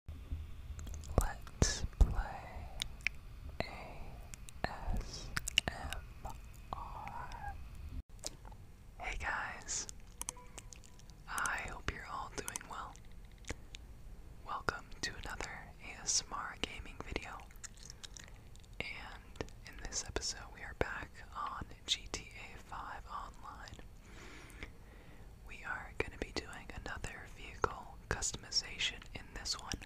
Hey guys, I hope you're all doing well. Welcome to another ASMR gaming video. And in this episode, we are back on GTA 5 Online. We are going to be doing another vehicle customization in this one.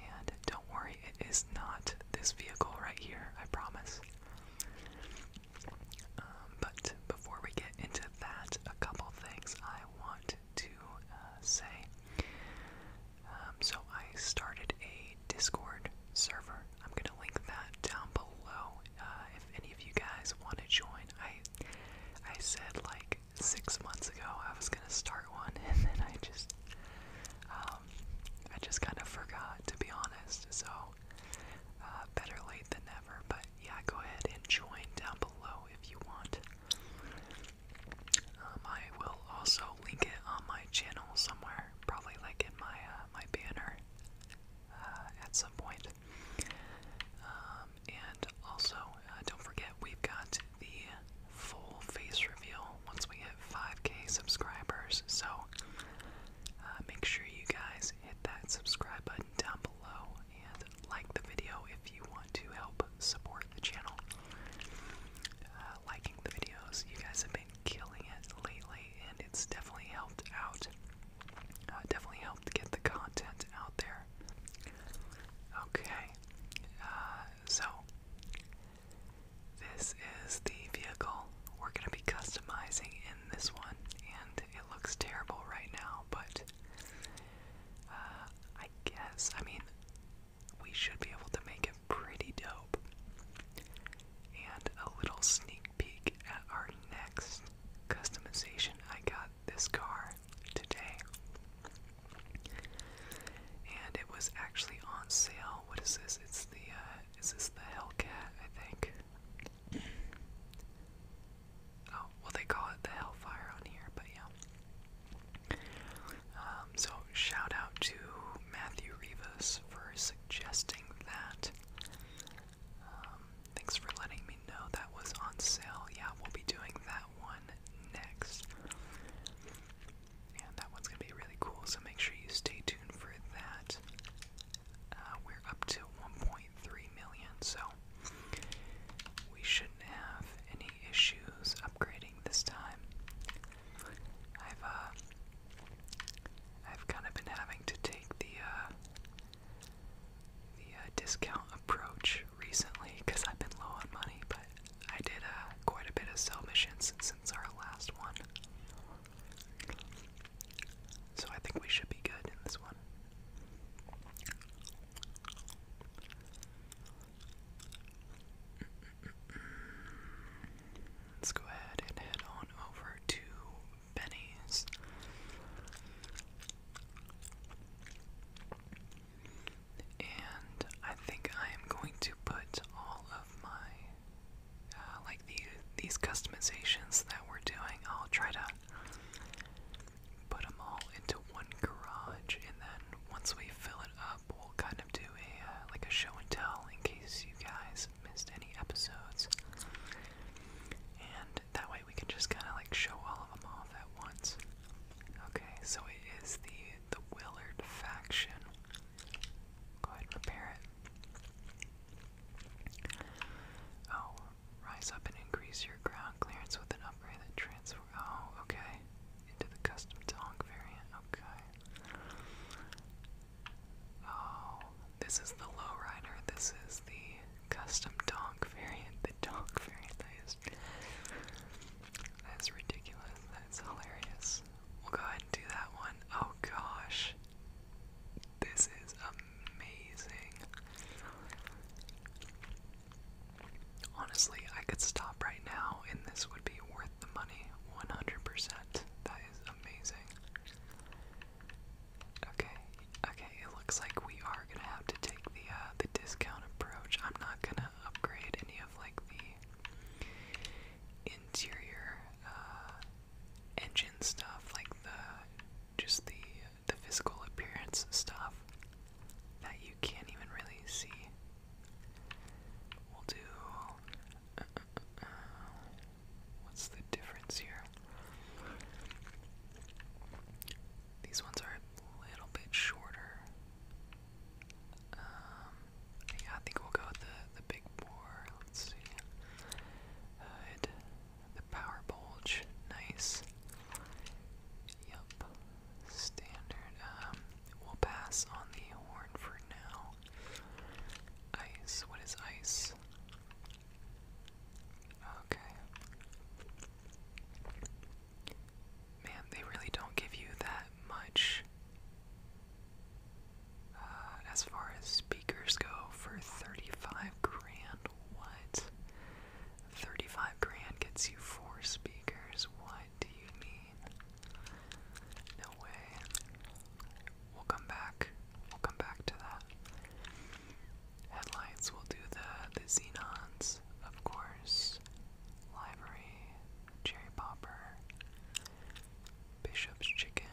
And don't worry, it is not this vehicle right here, I promise. Um, but before we get into that, a couple things I want to uh, say. Um, so I started a Discord server. I'm going to link that down below uh, if any of you guys want to join. I I said like six months ago I was gonna start one, and then I just um, I just kind of forgot to be honest. So uh, better late than never. But yeah, go ahead and join down below if you want. Um, I will also link it on my channel somewhere, probably like in my uh, my banner uh, at some point. Um, um, and also, uh, don't forget, we've got the full face reveal once we hit 5k subscribers. So uh, make sure you guys hit that subscribe button down below and like the video if you want to help support the channel. Uh, liking the videos, you guys have been killing it lately, and it's definitely helped out. definitely helped get the content out there. Okay, uh, so this is the vehicle we're going to be customizing in this one, and it looks terrible right now, but uh, I guess, I mean, we should be able to make it pretty dope. And a little sneak peek at our next customization. I got this car today. And it was actually on sale. What is this? It's the uh, is this the Hellcat, I think. Oh, well they call it the Hellfire on here, but yeah. Um, so shout out to Matthew Rivas for suggesting that. Um, thanks for letting me know that was on sale. Yeah, we'll be doing that one next. And that one's gonna be really cool, so make sure you stay tuned for that. Uh, we're up to 1.3 million, so we shouldn't have any issues upgrading this time. I've uh, I've kind of been having to take the uh, the uh, discount approach recently because I've been low on money, but I did uh, quite a bit of sell missions since our last one. So I think we should be good in this one. Let's go ahead and head on over to Benny's. And I think I am going to put all of my uh, like the, these customizations that we're doing. I'll try to put them all into one garage, and then once we fill it up, we'll kind of do a uh, like a show and tell in case you guys missed any episodes. And that way we can just kind of like show all of them off at once. Okay, so it is the the Willard faction. Go ahead and it. Oh, rise up and increase your ground clearance with an upgrade that transfer. Oh, okay, into the custom donk variant. Okay. Oh, this is the lowrider. This is the custom donk variant, the donk variant, that is, ridiculous, that's hilarious. We'll go ahead and do that one. Oh gosh, this is amazing. Honestly, I could stop right now and this would be worth the money 100%. That is amazing. Okay, Okay, it looks like we are gonna have to take the uh, the discount approach. I'm not gonna upgrade any of like the interior uh, engine stuff, like the just the the physical appearance stuff that you can't even really see. We'll do. Uh, what's the difference here? These ones are a little bit shorter. Um, yeah, I think we'll go with the, the big bore. Let's see. Hood, the power bulge, nice. Yup, standard. Um, we'll pass on the horn for now. Ice, what is ice? Okay. Man, they really don't give you that much uh, as far as speakers go for 35 grand. What? 35 grand gets you four speakers. What do you mean? No way. We'll come back. We'll come back to that. Headlights will do the the Xenons, of course. Library, Cherry Popper, Bishop's Chicken,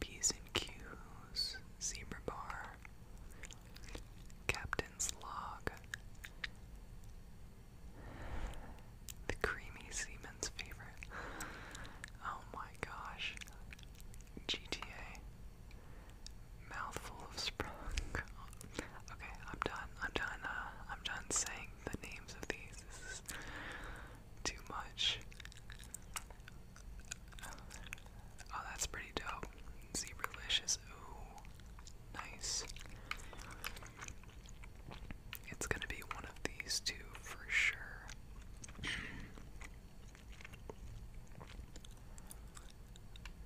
P's and Q's, Zebra Bar, Captain's Log, the creamy seaman's favorite. Oh my gosh. GTA. Mouthful of Sprung. okay, I'm done. I'm done. Uh, I'm done saying the names of these. too much. Oh, that's pretty dope. Zebralicious. Ooh, nice. It's gonna be one of these two for sure.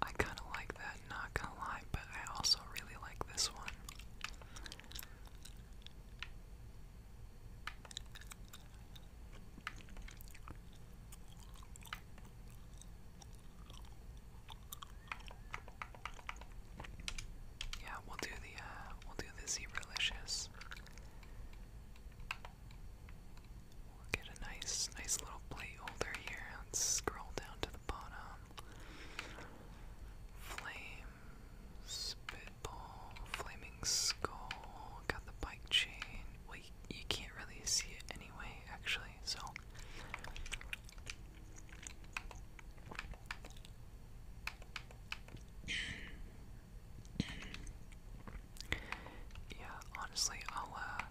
I kind of like that, not gonna lie, but I also really like this one. Yeah, we'll do the uh, we'll do the zebralicious. We'll get a nice, nice little plate here. Let's scroll down to the bottom. Flame, spitball, flaming skull. Got the bike chain. Well, you, can't really see it anyway, actually. So. Yeah, honestly, I'll uh,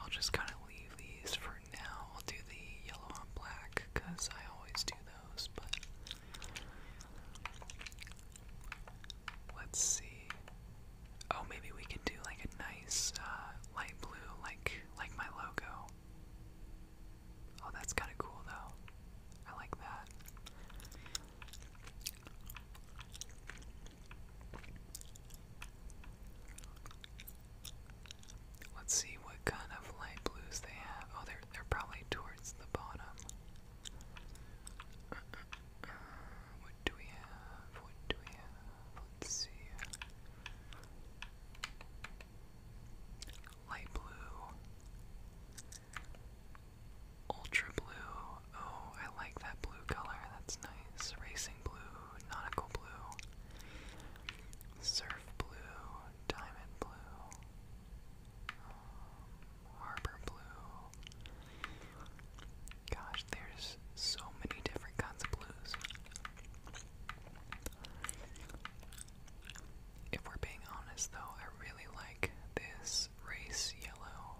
I'll just kind of leave these for now. I'll do the yellow on black because I always do those, but let's see. Oh, maybe we could do like a nice uh, light blue, like like my logo. Oh, that's kind of cool though. I like that. Let's see what kind of light blues they have. Oh, they're they're probably towards the bottom. what do we have? What do we have? Let's see. Light blue, ultra blue. Oh, I like that blue color. That's nice. Racing dancing blue, nautical blue, surf blue, diamond blue, um, harbor blue. Gosh, there's so many different kinds of blues. If we're being honest, though, I really like this race yellow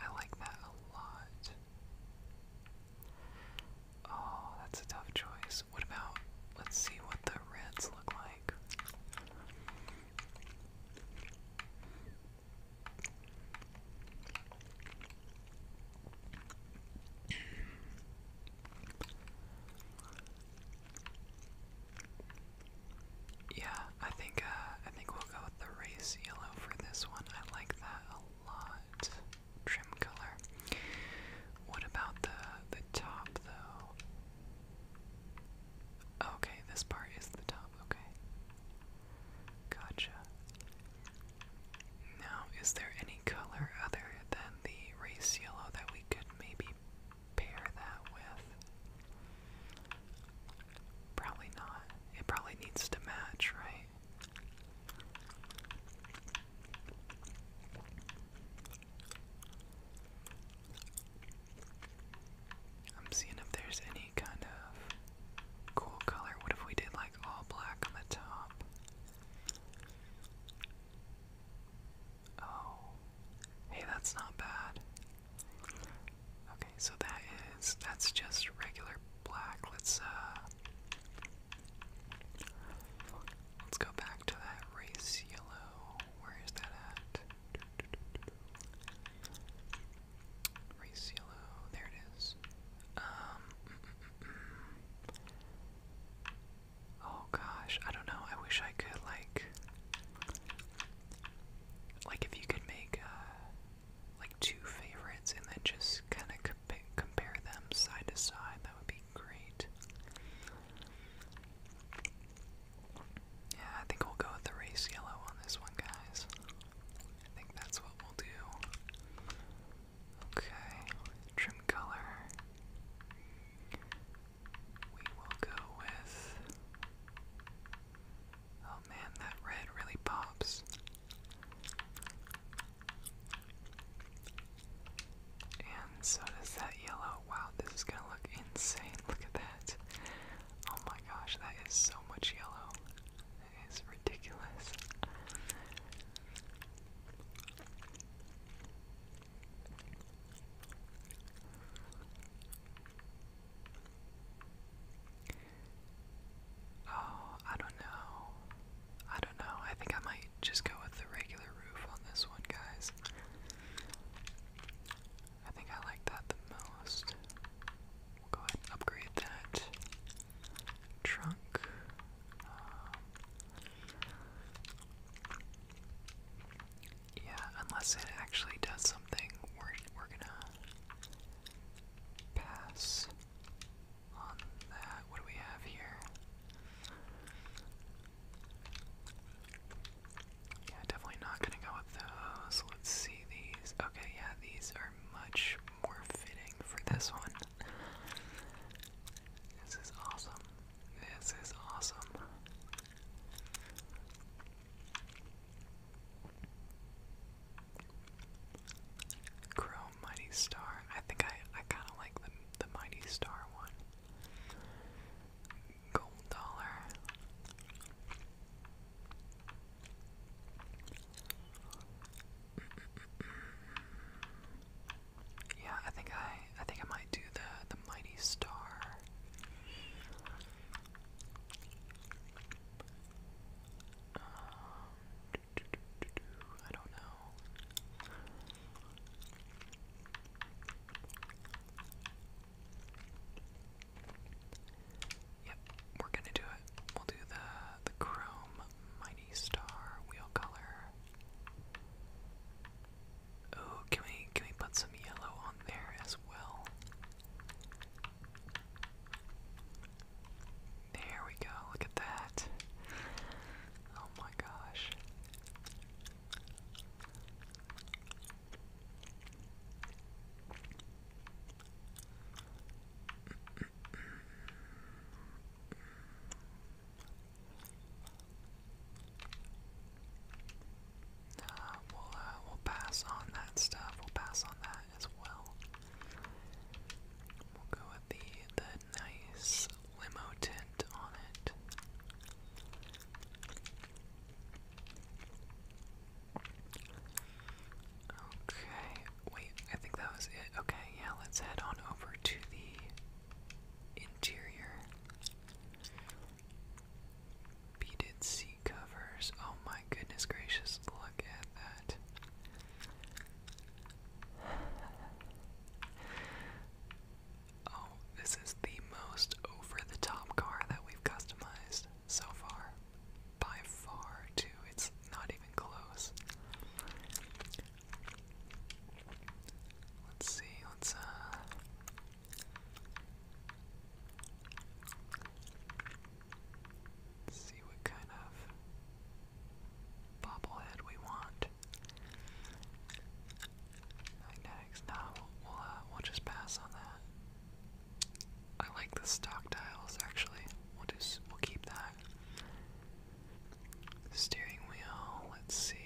I like that a lot. Oh, that's a tough choice. What about, let's see what the reds look like. yeah, I think uh, I think we'll go with the race yellow for this one. I like that a lot. Trim color. What about the the top though? Okay, this part is the top. Okay. Gotcha. Now, is there any color other than the race yellow that we could maybe pair that with? Probably not. It probably needs to match, right? I'm seeing if there's any kind of cool color. What if we did like all black on the top? Oh. Hey, that's not bad. Okay, so that is that's just regular black. Let's uh, Let's go back to that race yellow. Where is that at? Race yellow. There it is. Um, mm, mm, mm, oh gosh, I don't know. I wish I could like like if you could make uh, like two favorites and then just kind of compare them side to side. That would be great. Yeah, I think we'll go with the race yellow on this one, guys. I think that's what we'll do. Okay, trim color. We will go with Oh man, that red really pops. And so does that yellow. Wow, this is gonna look insane. Look at that. Oh my gosh, that is so much yellow. It is ridiculous. Oh, I don't know. I don't know. I think I might just go with the regular roof on this one, guys. I think I like that the most. We'll go upgrade that trunk. Um, yeah, unless it actually does something, we're, we're gonna Pass on that. What do we have here? Yeah, definitely not gonna go with those. Let's see these. Okay, yeah, these are much more fitting for this one. This is awesome. This is awesome. Chrome Mighty Star. I think I, I kind of like the, the Mighty Star one. Gold Dollar. Yeah, I think I I think I might do the the mighty star. Um, do, do, do, do, I don't know. Yep, we're gonna do it. We'll do the the chrome mighty star wheel color. Oh, can we can we put some yellow on there as well? There we go, look at that. Oh my gosh. will uh, we'll pass on that stuff. We'll pass on that as well. We'll go with the the nice limo tint on it. Okay, wait, I think that was it. Okay, yeah, let's head on over to the interior. Beaded seat covers. Oh my goodness gracious, look at that. Oh, this is the most over the top car that we've customized so far. By far, too. It's not even close. Let's see, let's, uh. Let's see what kind of bobblehead we want. Magnetics, nah, we'll, uh, we'll, just pass on that. I like the stock dials, actually. We'll just, we'll keep that. Steering wheel, let's see.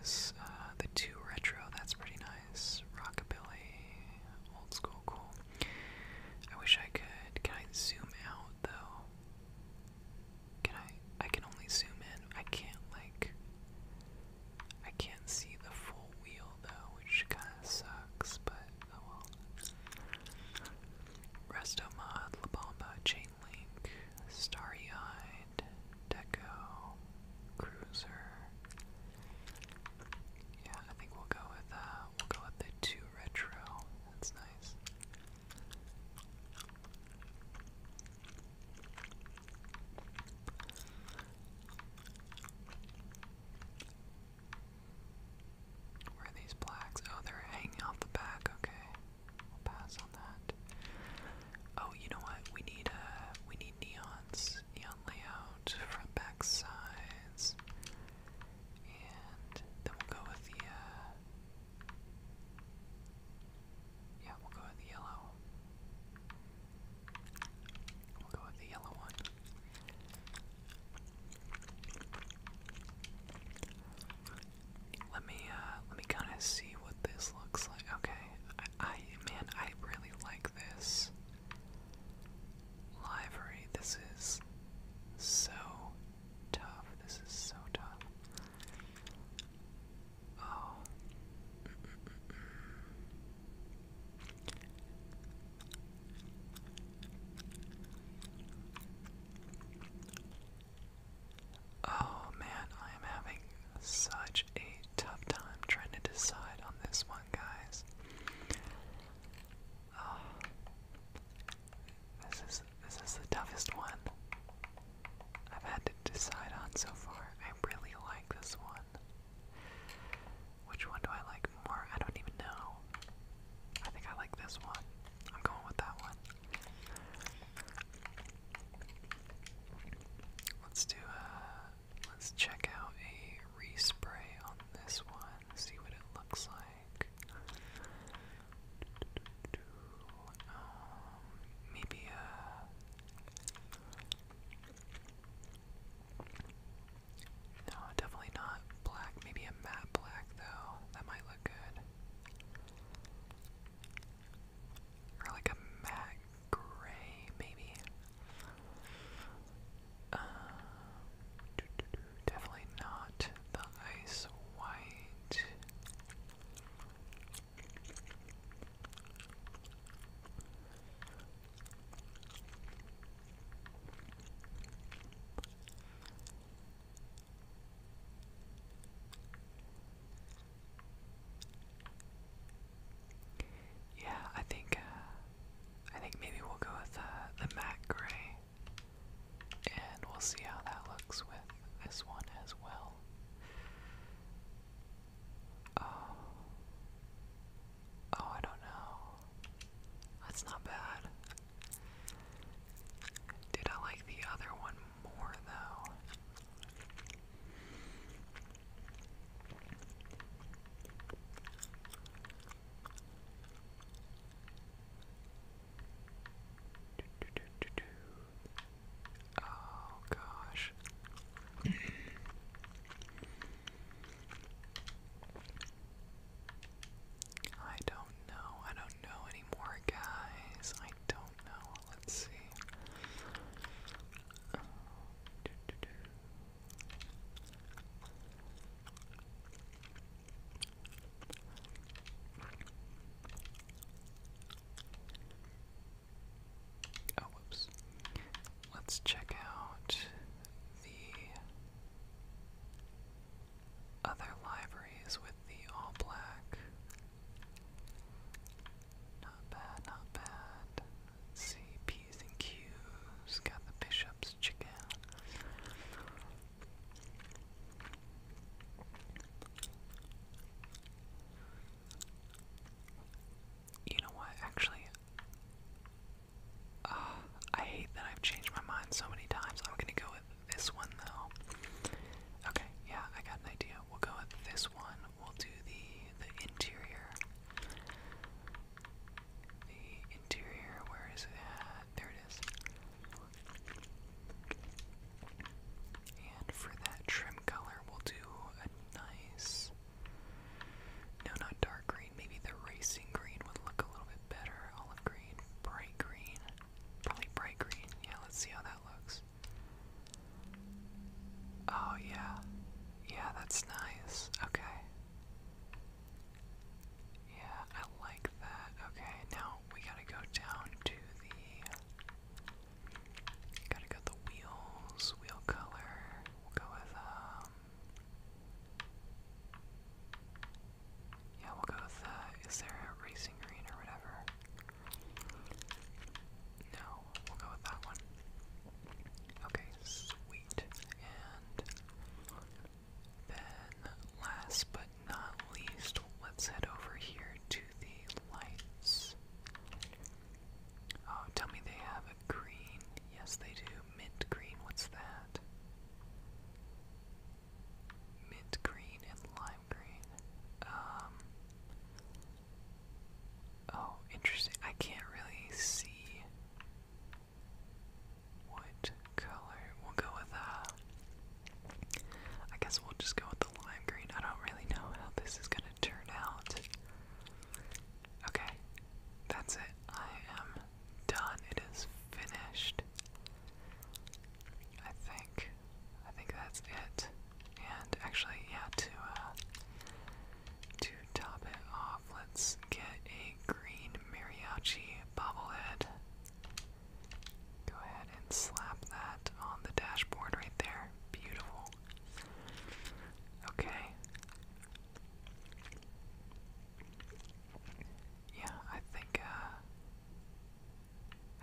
This, uh, the two retro, that's pretty nice. Rockabilly, old school, cool. I wish I could. Can I zoom out though? Can I? I can only zoom in. I can't like. I can't see the full wheel though, which kind of sucks. But oh well. Resto mod, La Chain Link, Starry Eye. Deco, Cruiser. Yeah, I think we'll go with uh we'll go with the two retro. That's nice. Where are these blacks? Oh, they're hanging off the back. Okay, we'll pass on that. Oh, you know what? We need a uh, we need neons, neon layout, front back sides. And then we'll go with the uh, Yeah, we'll go with the yellow. We'll go with the yellow one. Let me uh let me kind of see what this looks like. Okay, I, man, I really like this livery. This is so tough. This is so tough. Oh. Oh man, I am having such a tough time trying to decide on this one, guys. Oh, this is this is the toughest one I've had to decide on so far. I really like this one. Which one do I like more? I don't even know. I think I like this one. I'm going with that one. Let's do a. Uh, let's check out a respray on this one. See what it looks like. Um, maybe a. Uh, no, definitely not black. Maybe a matte black though. That might look good or like a matte gray, maybe. Uh, doo -doo -doo, definitely not the ice white. Yeah, I think uh, I think maybe we'll go with uh, the matte gray, and we'll see how that looks with this one as well. Oh, oh, I don't know. That's not bad. Did I like the other one more though. Oh gosh. I don't know. I don't know anymore, guys don't know. Let's see. Oh, whoops. Let's check out the other libraries with the all black not bad, not bad. let P's and Q's. Got the bishop's chicken. You know what, actually, uh, I hate that I've changed my mind so many times. I'm gonna go with this one though. Okay, yeah, I got an idea. We'll go with this one we'll do the the interior. The interior, where is it There it is. And for that trim color, we'll do a nice. No, not dark green. Maybe the racing green would look a little bit better. Olive green, bright green. Probably bright green. Yeah, let's see how that looks. Oh, yeah. Yeah, that's nice. Okay. Yeah, I like that. Okay, now we gotta go down to the. Gotta go the wheels, wheel color. We'll go with, um. Yeah, we'll go with, uh, is there a racing green or whatever? No, we'll go with that one. Okay, sweet. And then last but not least, let's head over here to the lights. Oh, tell me they have a green. Yes, they do. Mint green, what's that? Mint green and lime green. Um, Oh, interesting. I can't really see what color. We'll go with, uh, guess we'll just go with the lime green. I don't really know how this is gonna turn out. Okay, that's it. I am done. It is finished. I think, I think that's it. And actually, yeah, to uh, to top it off, let's get a green mariachi bobblehead. Go ahead and slap that on the dashboard right there. Beautiful. Okay. Yeah, I think uh,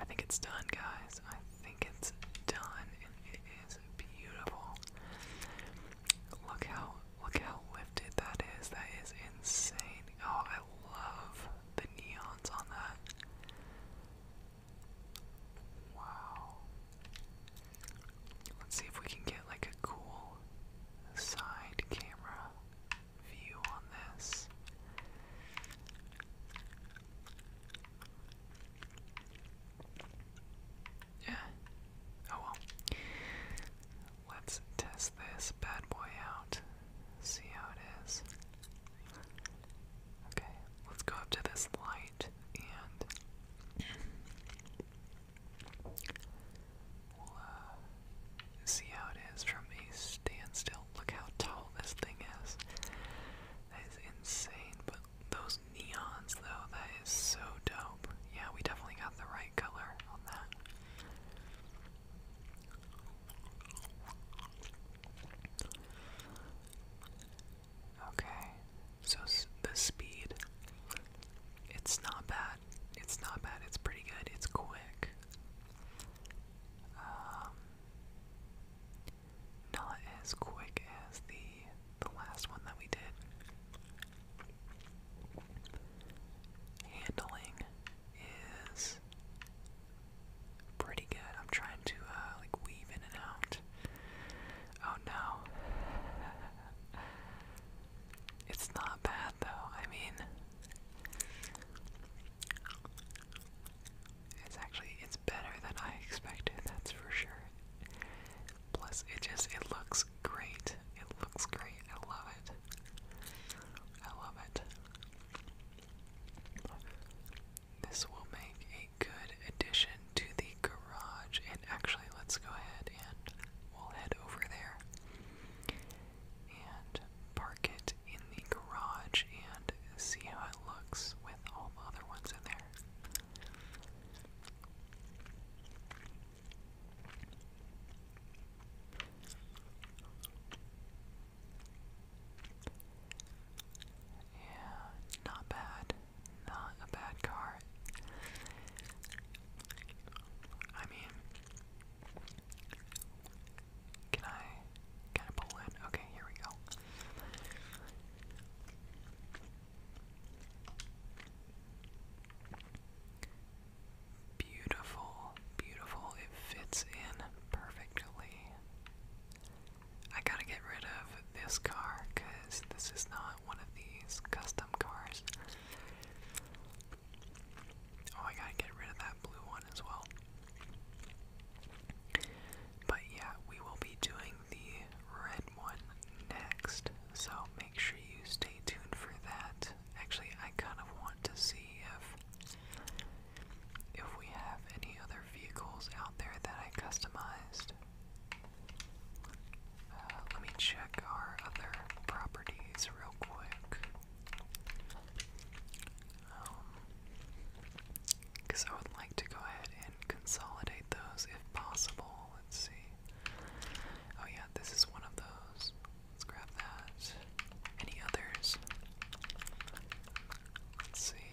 I think it's done, guys think it's done and it is beautiful. Look how look how lifted that is. That is insane. Oh, I love the neons on that. Wow. Let's see if we can get like a cool side camera view on this. Yeah. Oh well. Let's test this bad boy out. See how it is. Okay, let's go up to this light and we'll uh, see how it is from a standstill. Look how tall this thing is. That is insane, but those neons though, that is so dope. Yeah, we definitely got the right color on that. Okay, so the speed, it's not bad. It's not bad. It's pretty good. It's quick. Um, not as quick as the the last one that we did. Handling is pretty good. I'm trying to uh, like weave in and out. Oh no. It's not bad though. I mean it's actually it's better than I expected, that's for sure. Plus, it just, it looks great. It looks great. I love it. I love it. This will make a good addition to the garage. And actually, let's go ahead and we'll head over there and park it in the garage and see how it looks with all the other ones in there. Yeah, not bad. Not a bad car. I mean, can I can I pull in? Okay, here we go. Beautiful, beautiful. It fits in perfectly. I gotta get rid of this car because this is not one of these custom cars. Oh, I gotta get rid of that blue one as well. But yeah, we will be doing the red one next, so make sure you stay tuned for that. Actually, I kind of want to see if if we have any other vehicles out there that I customized. Uh, let me check our other properties real quick. Because um, I would like to go ahead and consolidate those if possible. Let's see. Oh yeah, this is one of those. Let's grab that. Any others? Let's see.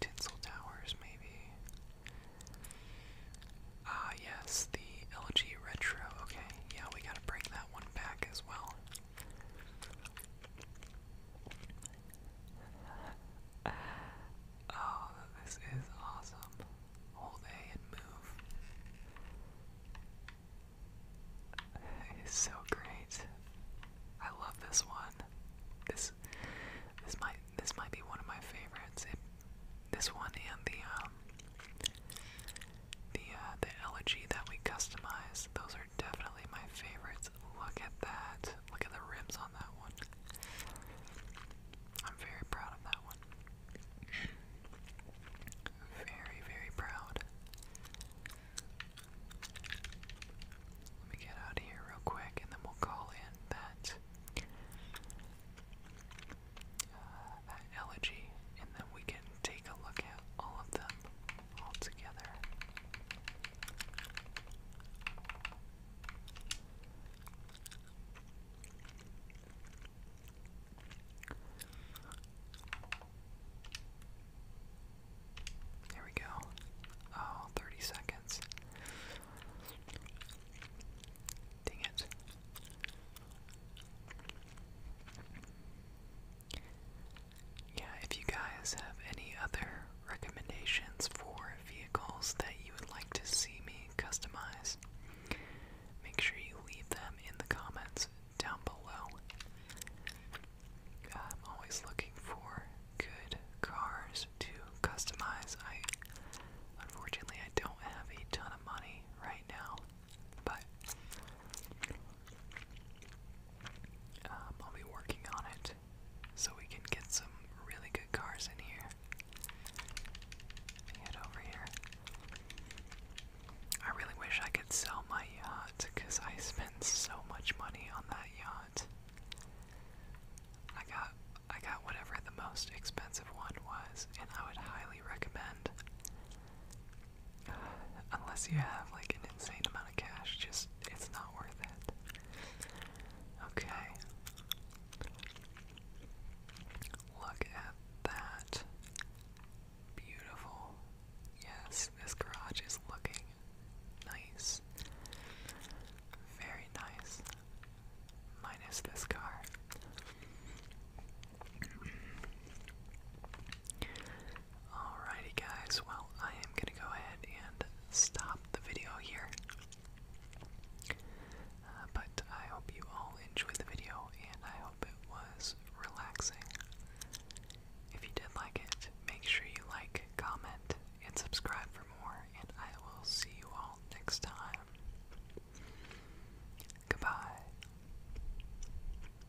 Tinsel Towers, maybe. Ah, yes, the LG Retro. Okay, yeah, we gotta bring that one back as well oh, this is awesome. Hold A and move. It's so great. I love this one. This this might this might be one of my favorites. this one and the um, the uh, the elegy that we customize. Those are definitely my favorites. Look at that! Look at the rims on that one. I'm very proud of that one. Very, very proud. Let me get out of here real quick, and then we'll call in that uh, that elegy, and then we can take a look at all of them all together. There we go. Oh, seconds. Dang it. Yeah, if you guys have any other recommendations for vehicles that you would like to see me customize, make sure you leave them in the comments down below. I'm always looking for good cars to customize. I unfortunately I don't have a ton of money right now. But um, I'll be working on it so we can get some really good cars in here. Let me head over here. I really wish I could sell my yacht because I spent so much money on that yacht. I got I got whatever the most expensive one was, and I would highly recommend Unless you have like an insane amount of cash, just it's not worth it. Okay. Look at that. Beautiful. Yes, this garage is looking nice. Very nice. Minus this car. Alrighty, guys, well, I am going to go ahead and stop the video here. Uh, but I hope you all enjoyed the video and I hope it was relaxing. If you did like it, make sure you like, comment, and subscribe for more, and I will see you all next time. Goodbye.